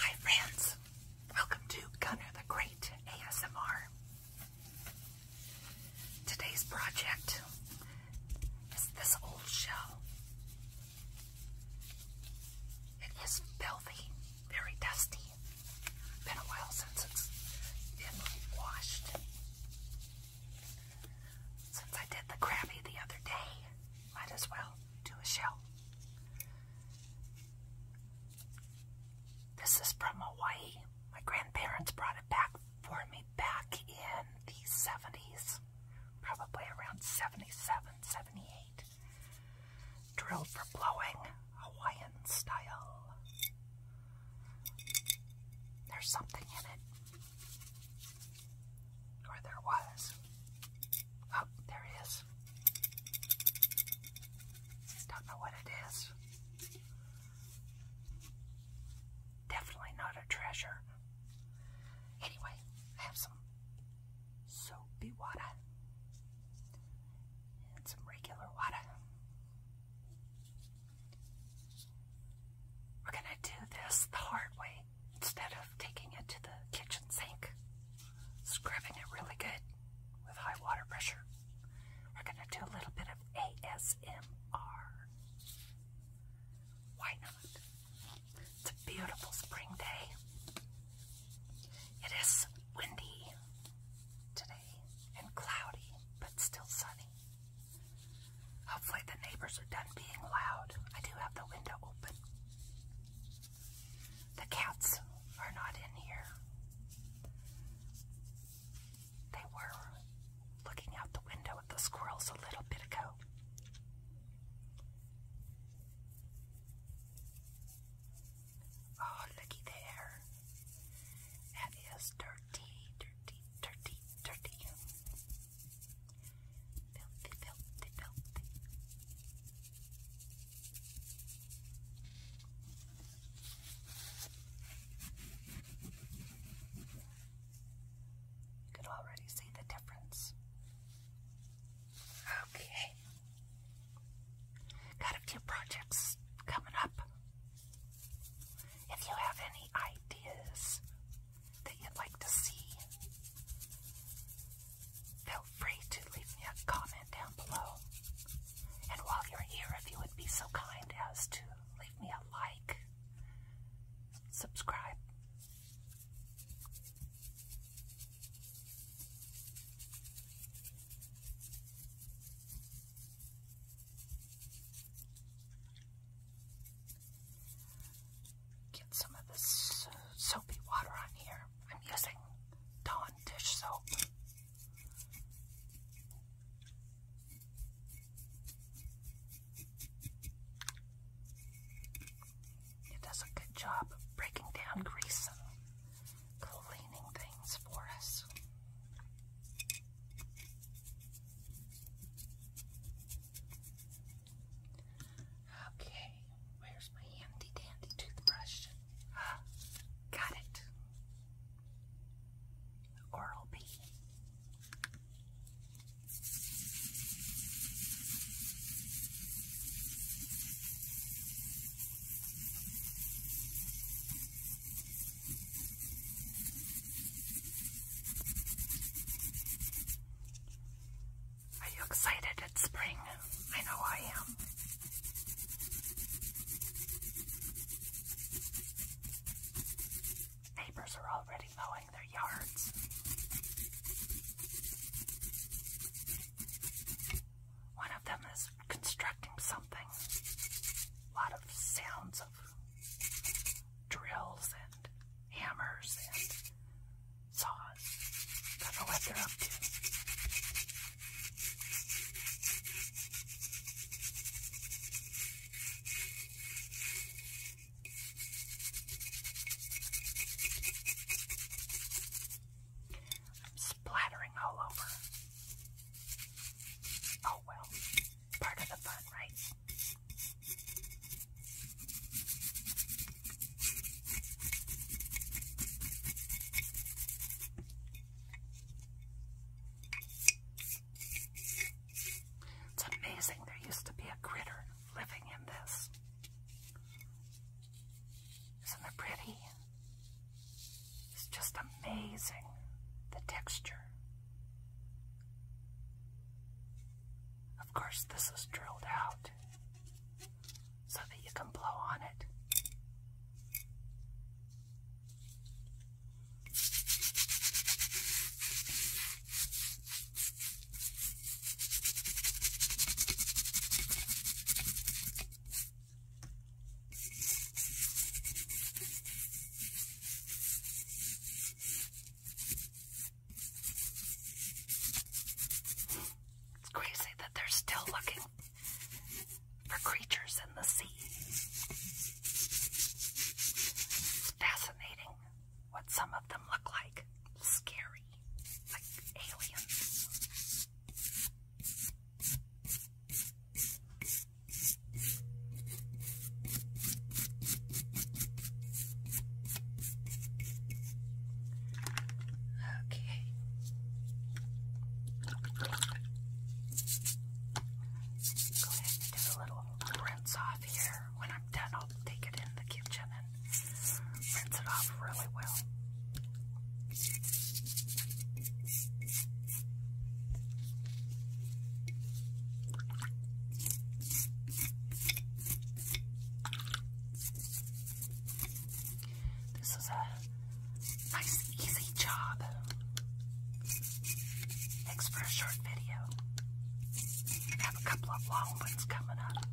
Hi friends, welcome to Gunner the Great ASMR. Today's project is this old shell. It is filthy, very dusty. Been a while since it's been washed. Since I did the crabby the other day, might as well do a shell. This is from Hawaii. My grandparents brought it back for me back in the 70s, probably around 77, 78. Drilled for blowing, Hawaiian style. There's something in it. Or there was. Oh, there is. Don't know what it is. Definitely not a treasure. Anyway, I have some soapy water and some regular water. We're going to do this the hard way instead of taking it to the kitchen sink, scrubbing it really good with high water pressure. We're going to do a little bit of ASMR. Why not? It's a beautiful spring day. It is windy today and cloudy, but still sunny. Hopefully, the neighbors are done being loud. I do have the window open. The cats are not in here. They were looking out the window at the squirrels a little bit ago. Oh, looky there. That is dirt dirty, dirty, dirty, dirty. You could already see the difference. Okay. Got a few projects coming up. If you have any ideas that you'd like to see, feel free to leave me a comment down below. And while you're here, if you would be so kind as to leave me a like, subscribe. Get some of this soapy water on here. I'm using Dawn dish soap. It does a good job of breaking down grease and cleaning things for us. Okay, where's my handy dandy toothbrush? Ah, got it. Oral B. Are you excited at spring? I know I am. Neighbors are already mowing their yards. One of them is constructing something. A lot of sounds of drills and hammers and saws. Don't know what they're up to. I'm splattering all over. Oh well part of the fun, right? It's amazing there used to be a critter living in this. Isn't it pretty? It's just amazing the texture. Of course, this is drilled out so that you can blow on it. It's crazy that they're still looking for creatures in the sea. It's fascinating what some of them look like. Scary, like aliens. Okay. Go ahead and do a little rinse off here. When I'm done, I'll take it in the kitchen and rinse it off really well. This is a nice, easy job. Thanks for a short video. I have a couple of long ones coming up.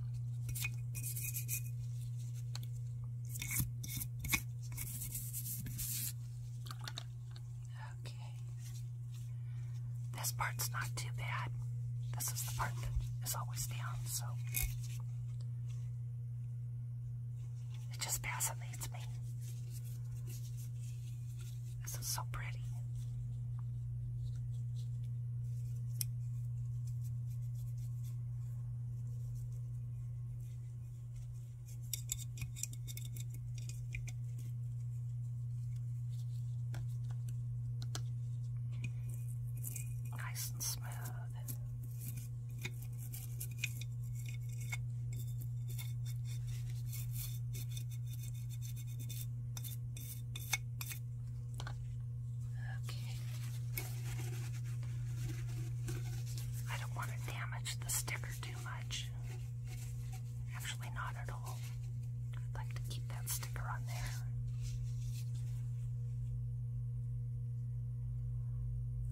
Okay. This part's not too bad. This is the part that is always down, so it just fascinates me. This is so pretty. Nice and smooth. Okay. I don't want to damage the sticker too much. Actually, not at all. I'd like to keep that sticker on there.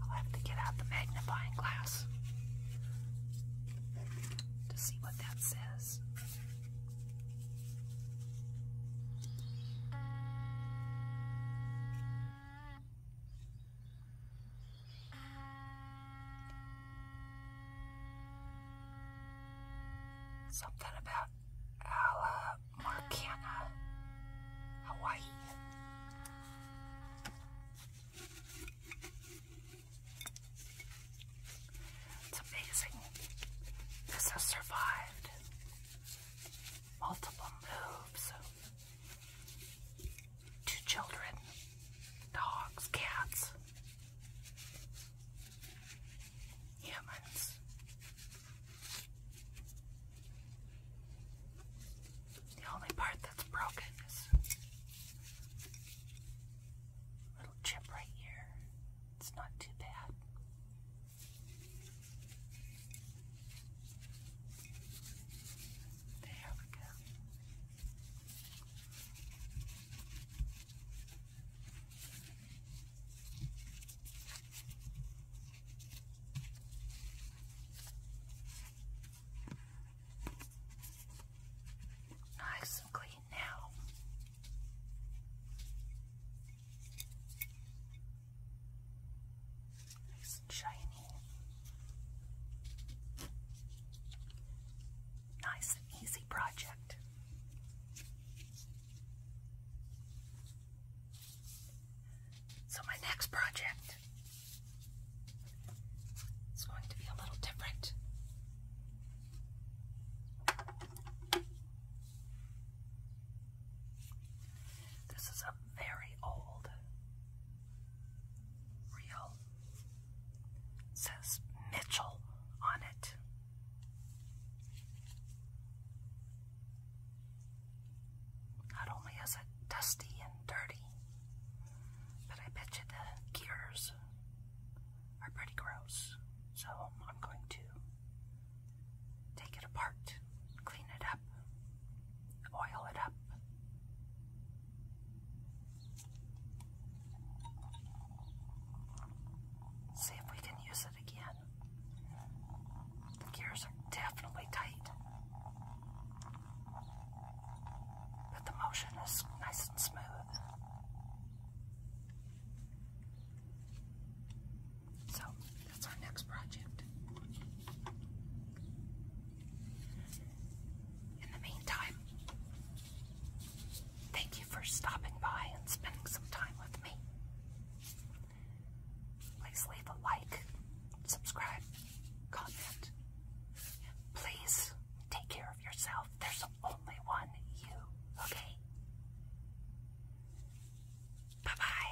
I'll have to get out the magnifying glass to see what that says. Something about Ala Marcana, Hawaii. It's amazing. This has survived multiple moves. Two children, dogs, cats, humans. The only part that's broken is little chip right here. It's not too bad. There we Nice and clean now. Nice and shiny. Nice and easy project. So, my next project is going to be a little different. This is a very old real it says Mitchell on it. Not only is it dusty and dirty, but I bet you the gears are pretty gross. So I'm going to take it apart, clean it up, oil it up. See if we can use it again. The gears are definitely tight, but the motion is nice and smooth. So that's our next project. In the meantime, thank you for stopping by and spending some time with me. Please leave a like, subscribe, comment. Please take care of yourself. There's only one you, okay? Bye bye.